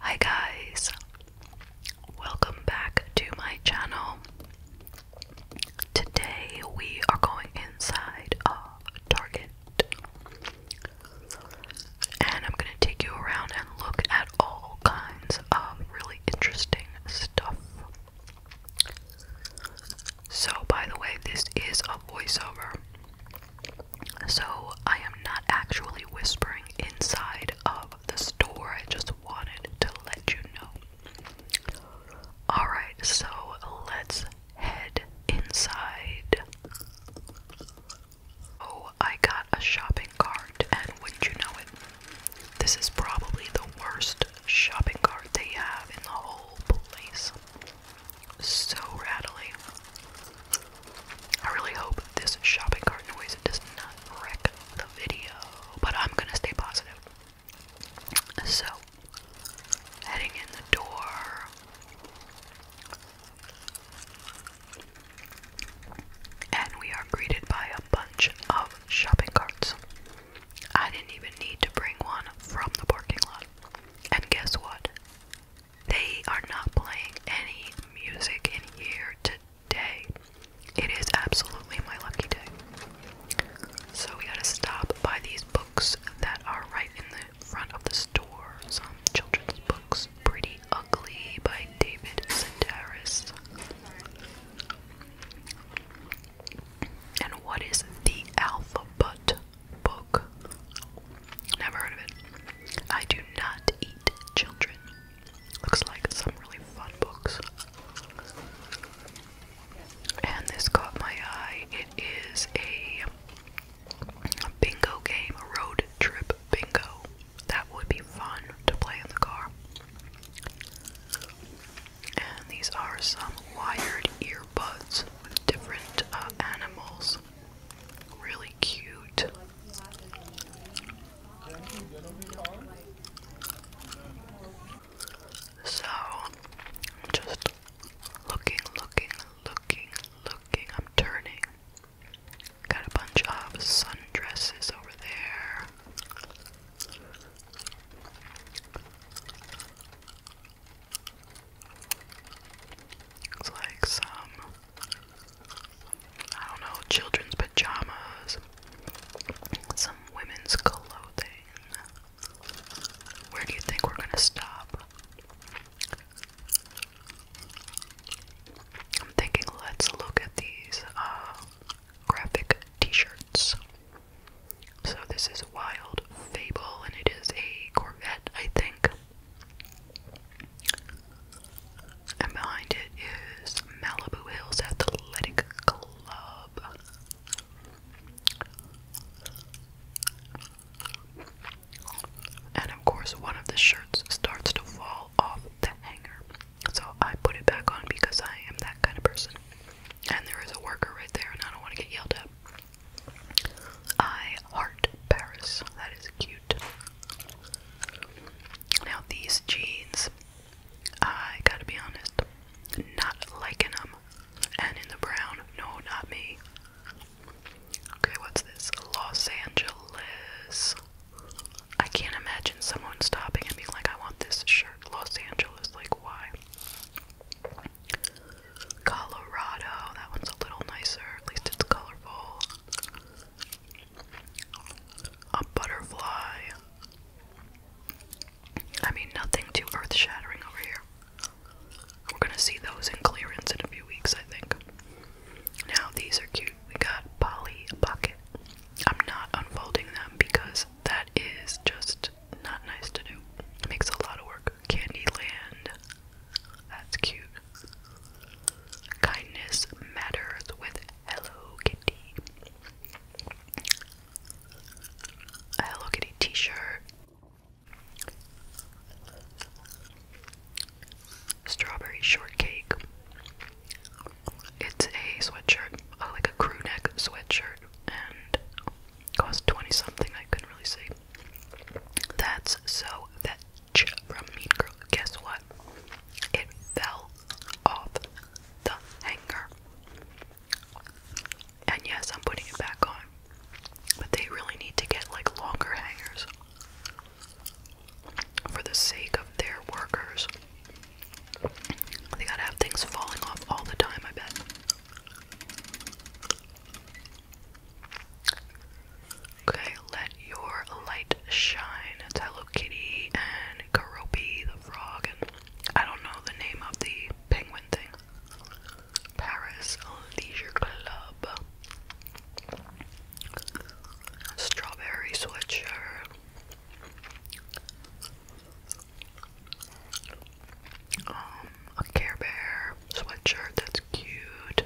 Hi guys, welcome back to my channel. Today we are going inside a Target and I'm going to take you around and look at all kinds of really interesting stuff. So, by the way, this is a voiceover. So I am not actually whispering inside of the store. I just wanted to let you know. Alright, so let's head inside. Oh, I got a shopping cart, and wouldn't you know it? This is probably the worst shopping cart they have in the whole place. So rattly. I really hope this shopping cart noise does not wreck the video, but I'm gonna stay positive. So, heading in the door. And we are greeted by a bunch of shopping carts. I didn't even need to bring one from the parking lot. And guess what? They are not playing any music in here today. It is absolutely my lucky day. So we gotta stop by these books that are right in the front of the store. Some children's books. Pretty Ugly by David Sedaris. And what is the alphabet book? Never heard of it. I do not eat children. Looks like some really fun books. And this caught my eye. It is a bingo game, a road trip bingo. That would be fun to play in the car. And these are some wired earbuds with different uh, animals. Really cute. So, I'm just looking, looking, looking, looking. I'm turning. Got a bunch of sundresses over there. It's like some I don't know, children's pajamas, some women's clothing. Where do you think we're gonna stop? I'm thinking let's look at these uh, graphic t-shirts. So this is Wild Fable and it is a Corvette, I think. And behind it is Malibu Hills Athletic Club. And of course, one of the shirts starts to fall off that hanger. So I put it back on because I am that kind of person. And there is a worker right there, and I don't want to get yelled at. I heart Paris. That is cute. Now these jeans, I gotta be honest, not liking them. And in the brown, no, not me. Okay, what's this? Los Angeles. I can't imagine someone stopping and being like, I want this shirt. Los Angeles, like, why? Colorado, that one's a little nicer. At least it's colorful a butterfly. I mean, nothing too earth shattering over here. We're gonna see those in clearance in a few weeks, I think. Now, these are cute. We got Polly Pocket. I'm not unfolding them because that is just not nice to do. makes a lot of work. Candyland. That's cute. Kindness matters with Hello Kitty. Hello Kitty t shirt. Strawberry shortcake. It's a sweatshirt, uh, like a crew sweatshirt, and cost 20 something, I couldn't really see. That's so that from Mean Girls. Guess what? It fell off the hanger. And yes, I'm putting it back on. But they really need to get like longer hangers for the sake of their workers. They gotta have things falling off all the time, I bet. Okay, let your light shine. It's Hello Kitty and Karopi the frog, and I don't know the name of the penguin thing. Paris Leisure Club. Strawberry sweatshirt. Um, a Care Bear sweatshirt that's cute.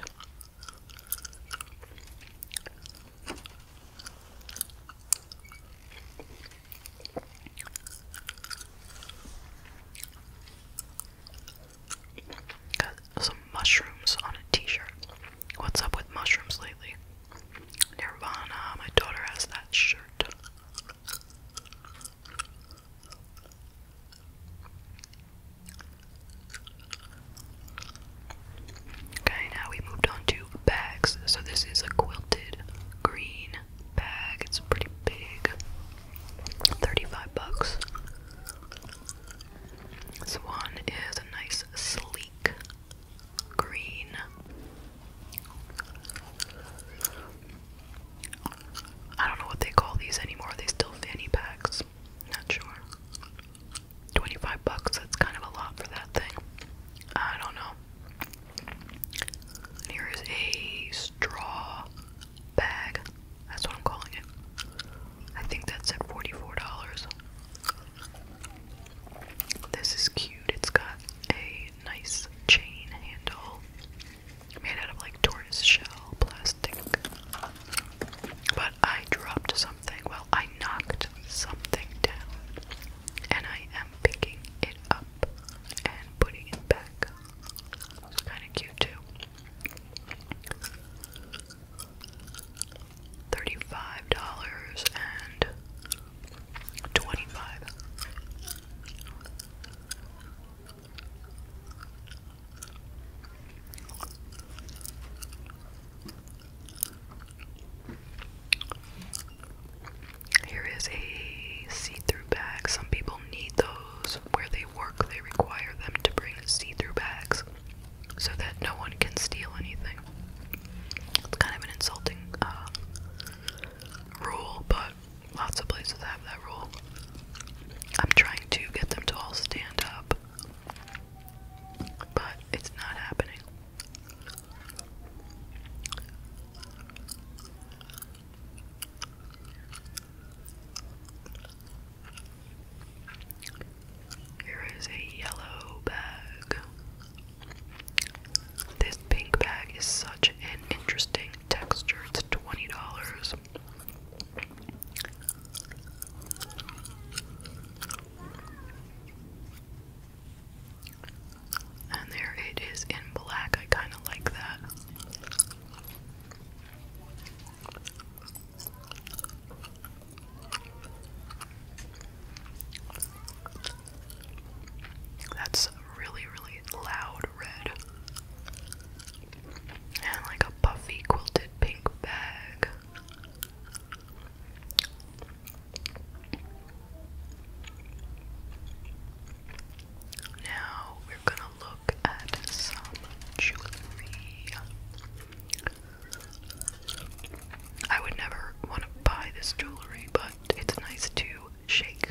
Got some mushrooms on a t-shirt. What's up with mushrooms lately? Nirvana, my daughter has that shirt. Okay, now we moved on to bags. So this is a quilted green bag. It's pretty big. 35 bucks. This one is a nice sleek green. I don't know what they call these anymore. Are they still fanny packs? Not sure. 25 bucks, that's kind of a lot for that thing. I don't know. here is a straw bag. That's what I'm calling it. I think that's at $44. This is cute. It's got a nice chain handle made out of like tortoise shell plastic. But I dropped something. Well, I knocked something down, and I am picking it up and putting it back. It's kind of cute too. Thirty-five dollars and twenty-five. Here is a see-through bag. Some people need those where they work. They require them to bring see-through bags so that no one can steal anything. It's kind of an insulting uh, rule, but lots of places have that rule. I'm trying to get them to all stand up but it's not happening. Here is a yellow bag. This pink bag is such an interesting texture. It's $20. And there it is in black. I kind of like that. That's really, really loud red. And like a puffy quilted pink bag. Now we're gonna look at some jewelry. I would never want to buy this jewelry, but it's nice to shake.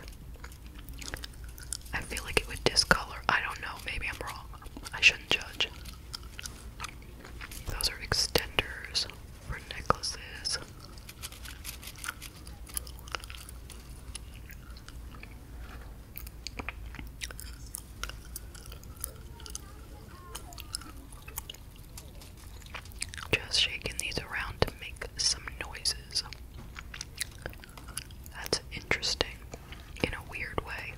I feel like it would discolor. I don't know, maybe I'm wrong. I shouldn't judge. Those are extenders for necklaces. Just shaking these around to make some noises. That's interesting in a weird way.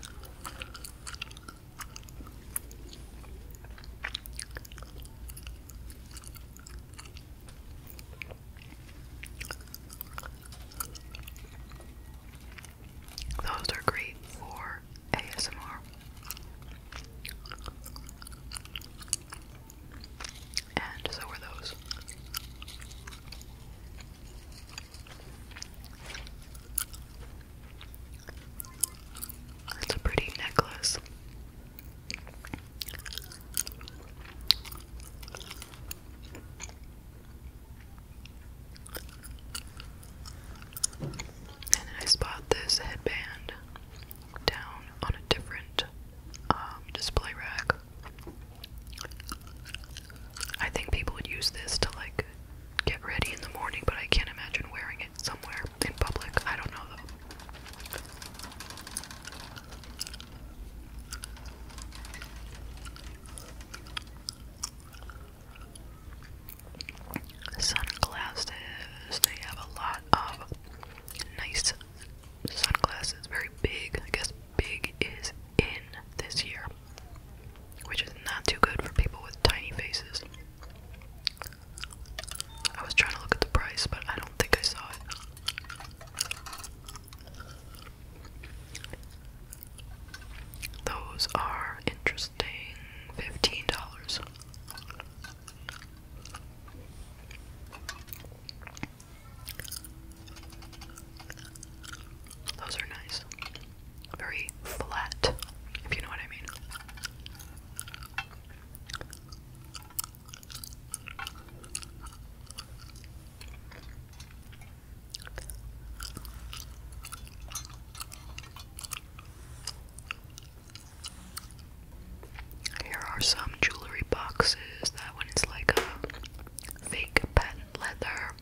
Those are great for ASMR. And so are those. That's a pretty necklace. And I spot this headband down on a different um, display rack. I think people would use this to like get ready in the morning, but I can't imagine wearing somewhere in public. I don't know though. Sunglasses. They have a lot of nice sunglasses. Very big. I guess big is in this year, which is not too good for people with tiny faces. I was trying to look at the price, but I don't think I saw it. Those are interesting. Fifteen dollars. Those are nice. Very flat, if you know what I mean. Here are some jewelry boxes. That one is like a fake patent leather.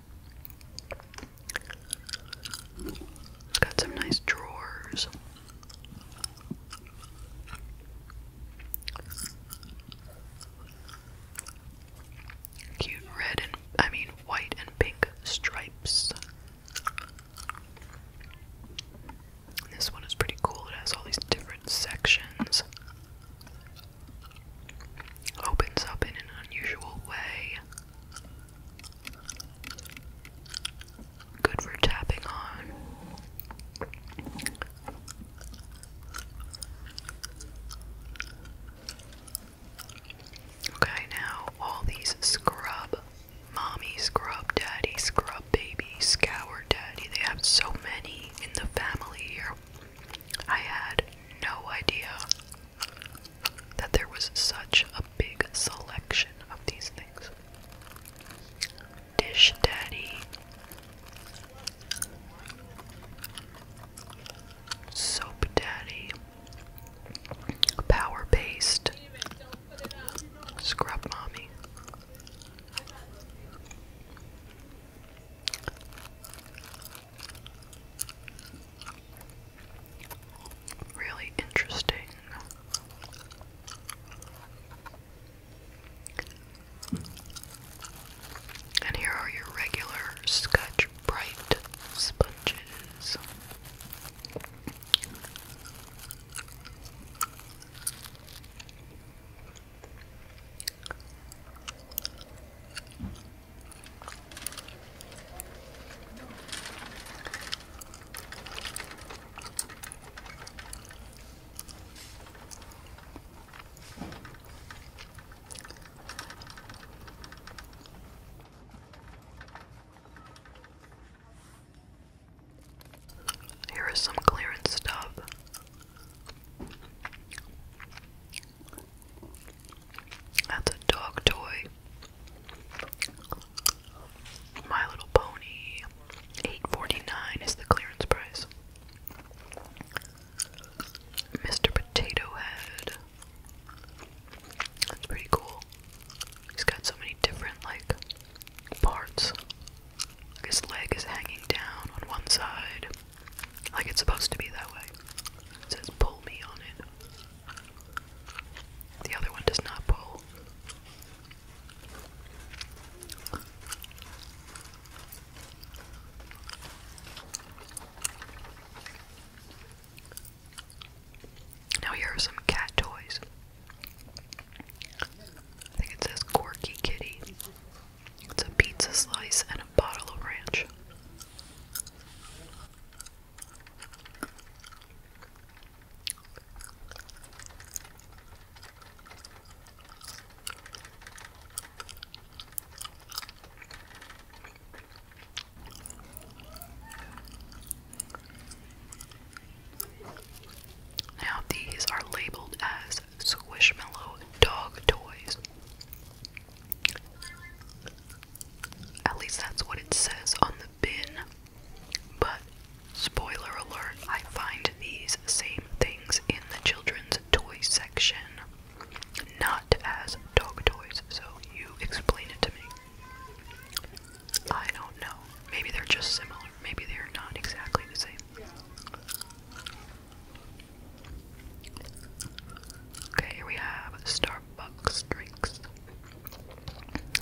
It's got some nice drawers. Cute red I mean white and pink stripes. This one is pretty cool. It has all these different sections. Opens up in an unusual way. Good for tapping on. Okay, now all these scrub mommy, scrub daddy, scrub baby, scour daddy, they have so many in the family here. I had no idea that there was such a big selection of these things. Dish Daddy, Soap Daddy, Power Paste, Scrub Mommy. Really interesting. And here are your regular Scotch Bright sponges. Here is some clearance stuff. That's a dog toy. My Little Pony, eight forty nine is the clearance price. Mr. Potato Head. That's pretty cool. He's got so many different like parts. his leg is hanging down on one side. Like it's supposed to be that way. It says pull me on it. The other one does not pull. Now here are some cat toys. I think it says Corky Kitty. It's a pizza slice and a bottle of ranch. Now, these are labeled as Squishmallow dog toys. At least that's what it says on the bin. But spoiler alert, I find these same things in the children's toy section, not as dog toys, so you explain it to me. I don't know. Maybe they're just similar. Maybe they're not exactly the same. Okay, here we have Starbucks drinks.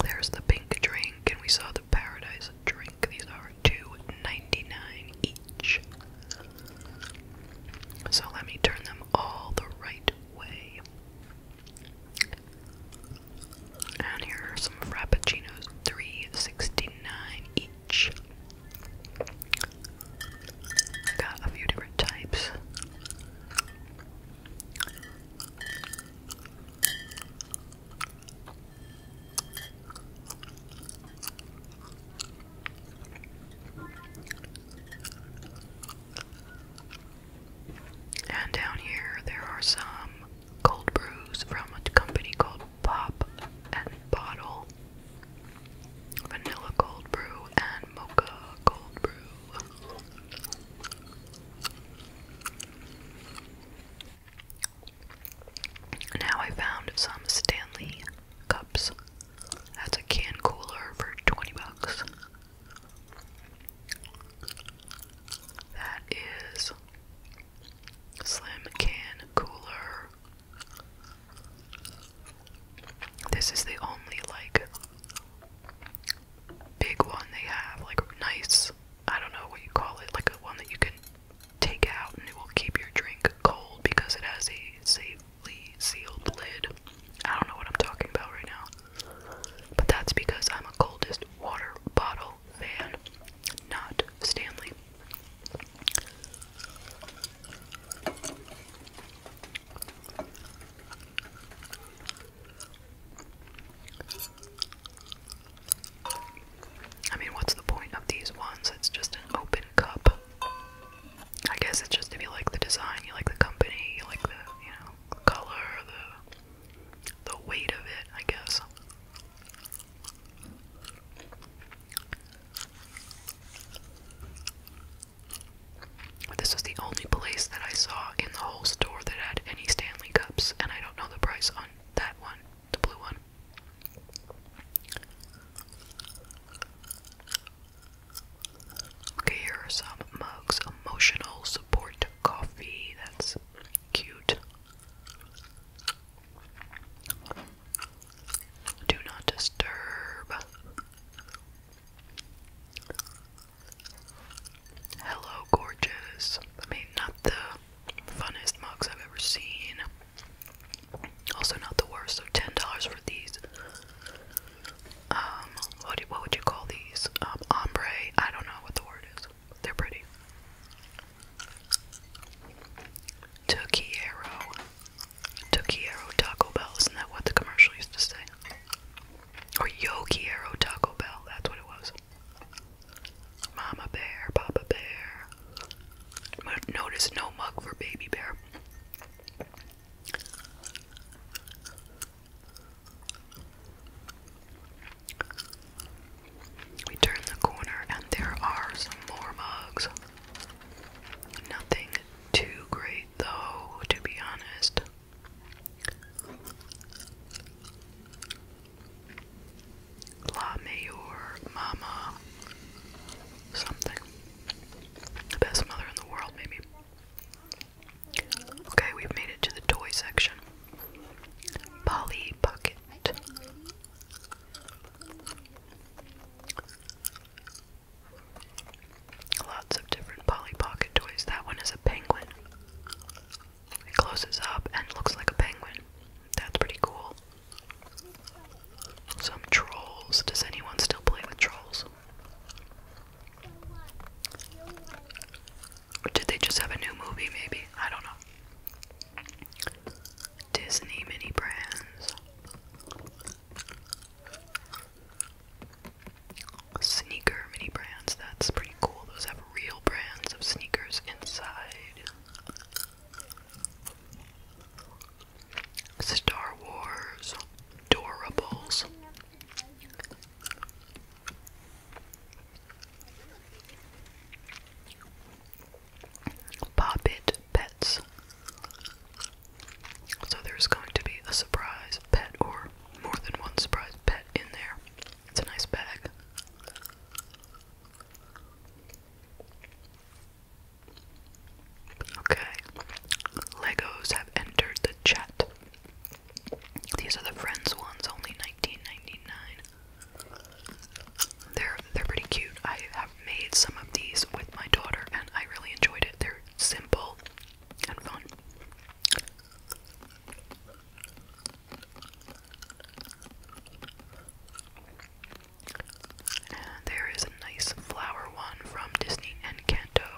There's the pink drink, and we saw the paradise drink. These are two ninety-nine each. So let me turn them all the right way. And here are some frappuccinos, $3.69 each. Got a few different types. And down here, there are some cold brews from a company called Pop and Bottle Vanilla Cold Brew and Mocha Cold Brew. Now I found some Stanley cups. That's a can cooler for 20 bucks. That is slim can cooler. This is the only like big one they have, like nice I don't know what you call it, like a one that you can take out and it will keep your drink cold because it has a safely sealed lid. I don't know what I'm talking about right now. But that's because I'm a coldest water bottle fan, not Stanley. I mean, what's the point of these ones? It's just an open cup. I guess it's just if you like the design, you like the company, you like the, you know, the color, the the weight of it, I guess. This was the only place that I saw in the whole store that had any stand. Cups, and I don't know the price on that one, the blue one. Okay, here are some mugs. Emotional support coffee. That's cute. Do not disturb. Hello, gorgeous. I mean, not the funnest mugs I've ever seen. Also, not the worst. So, ten dollars for these. Um, what what would you call these? Um, ombre. I don't know what the word is. They're pretty. Tokiero. Tokiero Taco Bell. Isn't that what the commercial used to say? Or Yokiero Taco Bell. That's what it was. Mama bear, Papa bear. Notice no mug for baby bear. We turn the corner and there are some more mugs. Nothing too great though, to be honest. La Mayor Mama something. The best mother in the world, maybe. Okay, we've made it to the toy section. Polly Bucket. Lots of different Polly Pocket toys. That one is a penguin. It closes up and looks like a penguin. That's pretty cool. Some trolls. Does anyone still play with trolls? did they just have a new movie, maybe? I don't know. Disney mini brands. Sneaker mini brands. That's pretty cool. Those have real brands of sneakers inside. Star Wars, Dorables. Pop It Pets. So there's going to be a surprise pet or more than one surprise pet in there. It's a nice bag. Okay. Legos have entered the chat. These are the Friends ones, only 19 They're they're pretty cute. I have made some of these with my daughter and I really enjoyed it. They're simple and fun there is a nice flower one from Disney and Kanto.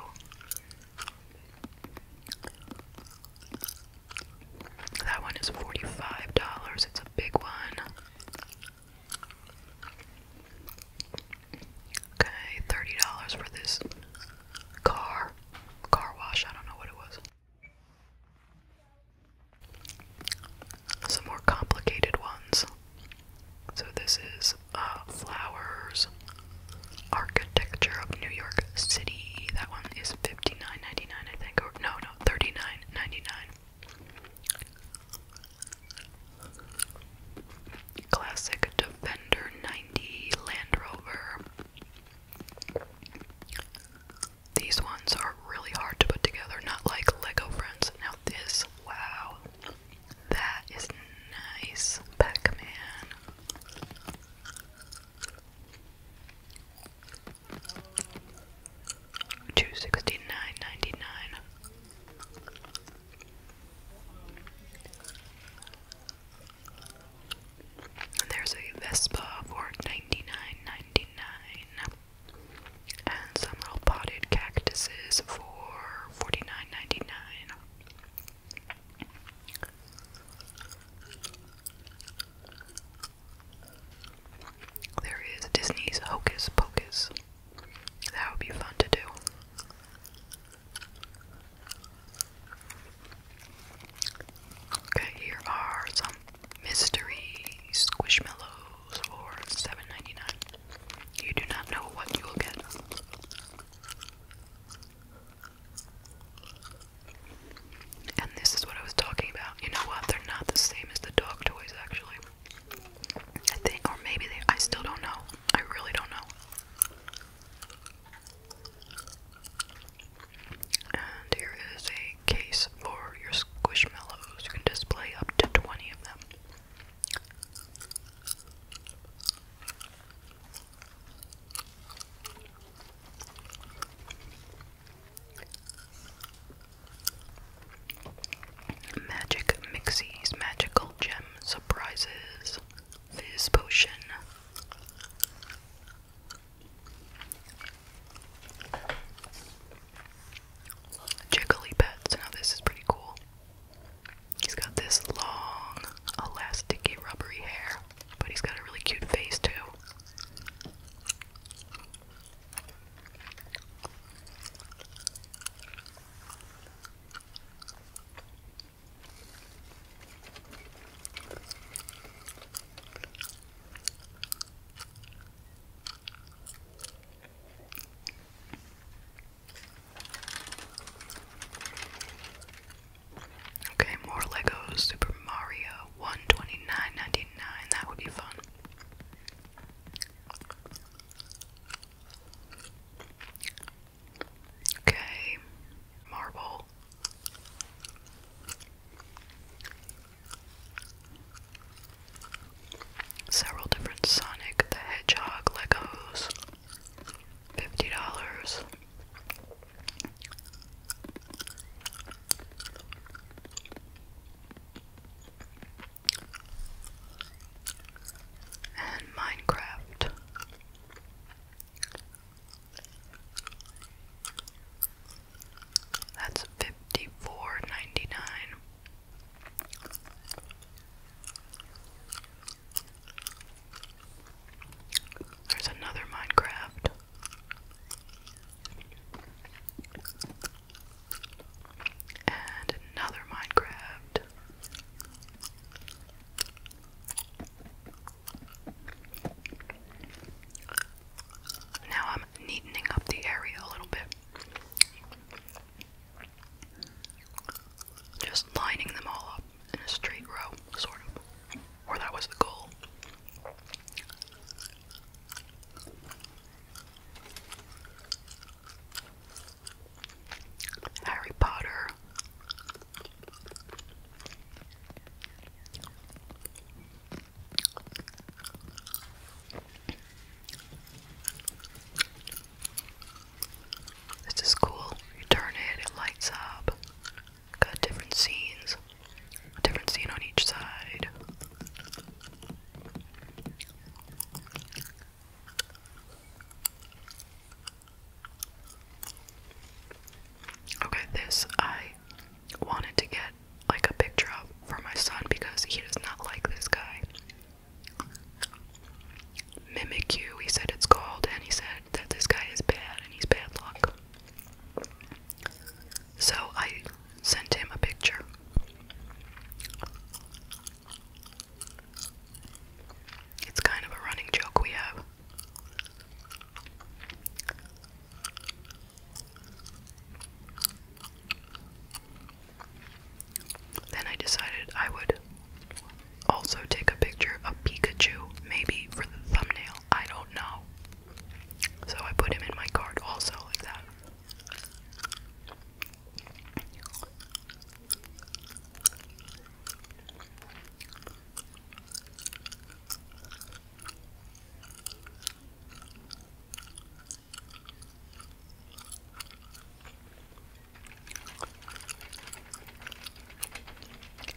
That one is $45. It's a big one. Okay, $30 for this car. Car wash, I don't know what it was. Some more complicated ones. So, this is uh, Flowers Architecture of New York City. That one is fifty nine ninety nine, I think. Or, no, no, thirty nine ninety nine. Classic Defender 90 Land Rover. These ones are really hard to put together, not like Lego friends. Now this, wow. That is nice, Pac-Man. Two sixty nine and there's a Vespa for 99 99 And some little potted cactuses for 49 There is Disney's Hocus Pocus. That would be fun to do. Okay, here are some mystery squishmallows for seven ninety nine. You do not know what you will get. And this is what I was talking about. You know what? They're not the same as the dog toys, actually. I think, or maybe they. I still don't know. I really don't know. And here is a case for your squishmallows. You can display up to 20 of them. Magic Mixies, Magical Gem Surprises, Fizz Potion, Jiggly Now this is pretty cool. He's got this long, elasticy, rubbery hair, but he's got a really cute face too. Okay, more Legos. Super Mario 129.99. That would be fun. Okay, marble. Several different Sonic the Hedgehog Legos. Fifty dollars. And Minecraft. That's fifty four ninety nine. There's another Minecraft. And another Minecraft. Now I'm neatening up the area a little bit. Just lining them all up in a straight row, sort of. Or that was the goal. Harry Potter. This is cool. You turn it, it lights up. Got different scenes. A different scene on each side. Okay, this I I wanted to get like a picture for my son because he does not like this guy. Mimic you, he said it's called, and he said that this guy is bad and he's bad luck. So I sent him a picture. It's kind of a running joke we have. Then I decided I would also take a picture of Pikachu, maybe for the thumbnail, I don't know. So I put him in my card also, like that.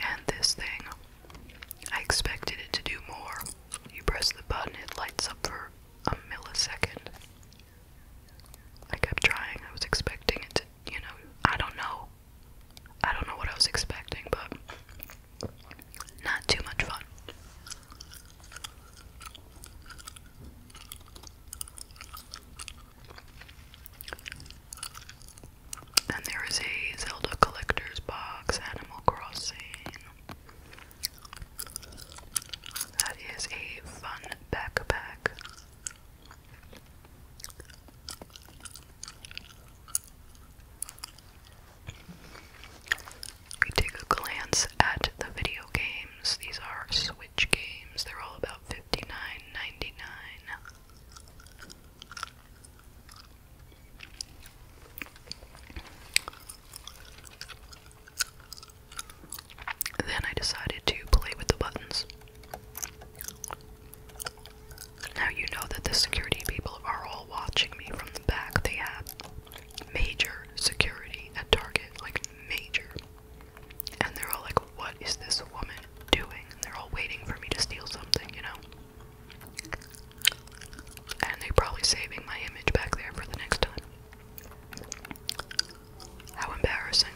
And this thing, I expected it to do more. You press the button, it lights up for a millisecond. I kept trying, I was expecting it to, you know, I don't know. I don't know what I was expecting, but not too much fun. Then there is a Zelda collector's box, Animal Crossing. That is a fun backpack. We take a glance at the video games. These are Switch games. They're all about 59 Then I decided to play with the buttons. Now you know that the security people are all watching me from back, they have major security at Target, like major. And they're all like, what is this woman doing? And they're all waiting for me to steal something, you know? And they're probably saving my image back there for the next time. How embarrassing.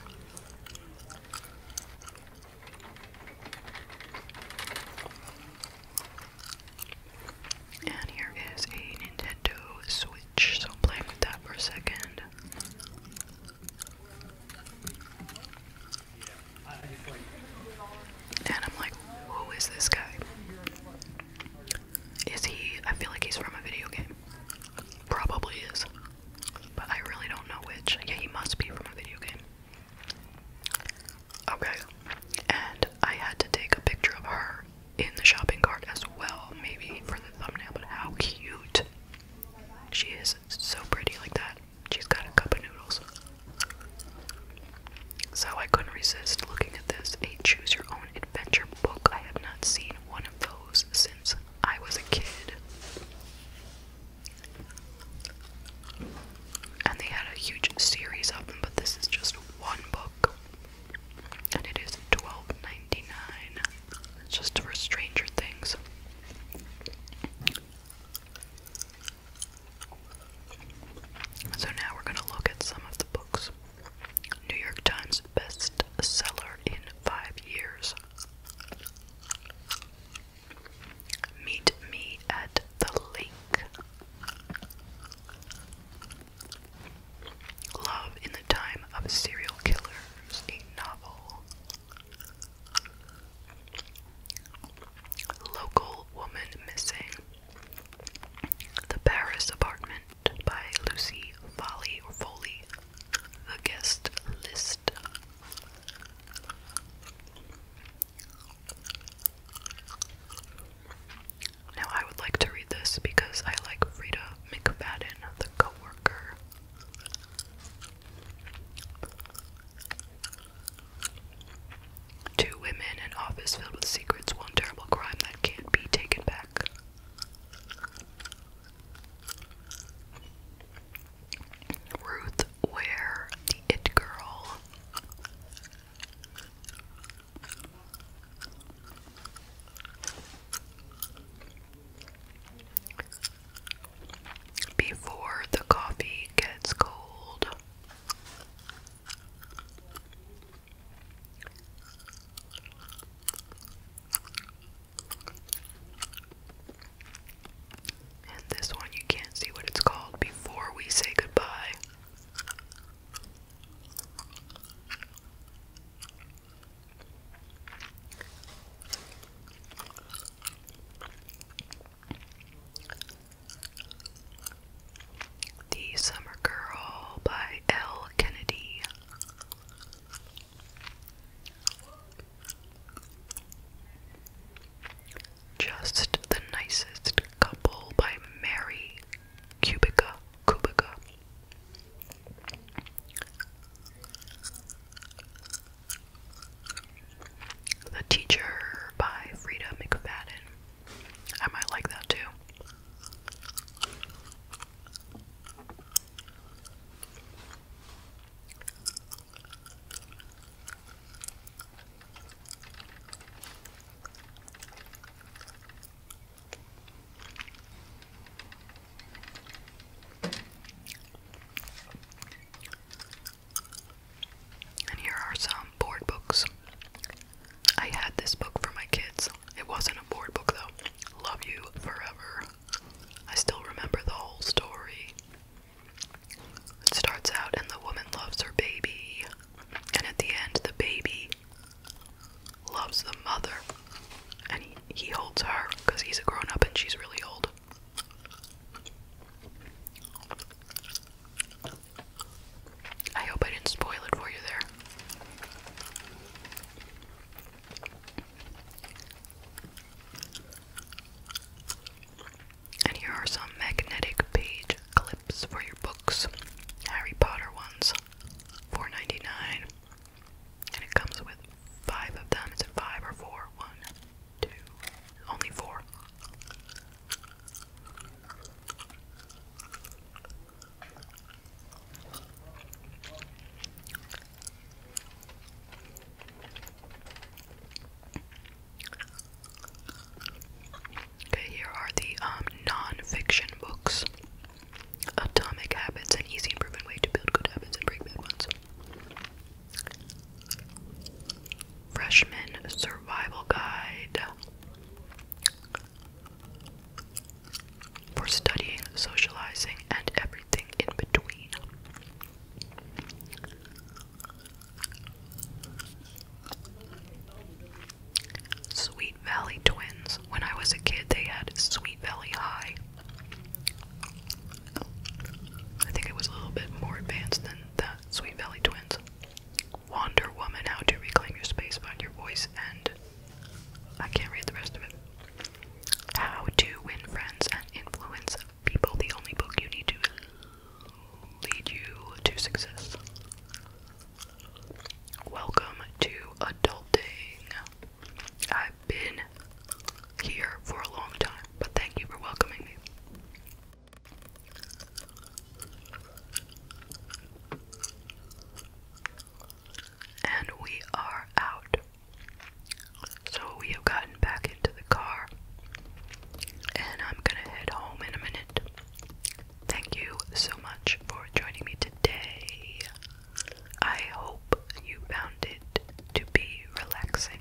And here is a Nintendo Switch, so i that for a second. And I'm like, who is this guy? Is he, I feel like he's from a video game. Probably is. But I really don't know which. Yeah, he must be from a video game. Okay. And I had to take a picture of her in the shopping cart as well, maybe for the thumbnail, but how cute. She is so pretty like that. She's got a cup of noodles. So I couldn't resist looking at this. A choose your own adventure book. I have not seen one of those since I was a kid and they had a huge series of them, but this is just one book, and it just for Stranger Things. So now we're gonna look at some of the books. New York Times bestseller in five years. Meet Me at the Lake. Love in the Time of Serial Killers, a novel. Local Woman Missing. The Paris Apartment by Lucy Foley. The Guest List. Now I would like to read this because I like Frida McFadden, the coworker. Two women, an office filled with secrets, one terrible crime that can't be taken back. Ruth where the It Girl before the coffee gets cold. And this one you can't see what it's called before we say goodbye. The Summer Girl by L. Kennedy. Just the Nicest Couple by Mary Cubica, Cubica. The Teacher by Frida McFadden. I might like that too. And here are some board books. I had this book for my kids. It wasn't a board book though. Love You Forever. I still remember the whole story. It starts out and the woman loves her baby. And at the end, the baby loves the mother and he, holds her because he's a grown up and she's really old. I hope I didn't spoil it for you there. And here are some magnetic page clips for your books, Harry Potter ones, four ninety nine, and it comes with five of them. Is five or four? One, two, only four. Okay, here are the um, non-fiction books. Atomic Habits, an easy and proven way to build good habits and break bad ones. Freshman Survival Guide for studying, socializing, and everything in between. Sweet Valley Twins. When I was a kid, they had Sweet Valley High. I think it was a little bit more advanced than that. Sweet Valley Twins. Wonder Woman, How to Reclaim Your Space, Find Your Voice, and I can't read the rest of it. How to Win Friends and Influence People, the only book you need to lead you to success. Welcome to adulting. I've been here for a long time, but thank you for welcoming me. And we are out. So we have gotten back into the car, and I'm gonna head home in a minute. Thank you so much for joining me today. I hope you found it to be relaxing.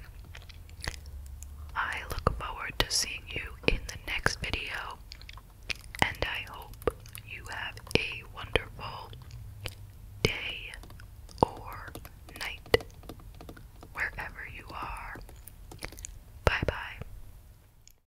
I look forward to seeing you in the next video, and I hope you have a wonderful day or night wherever you are. Bye bye.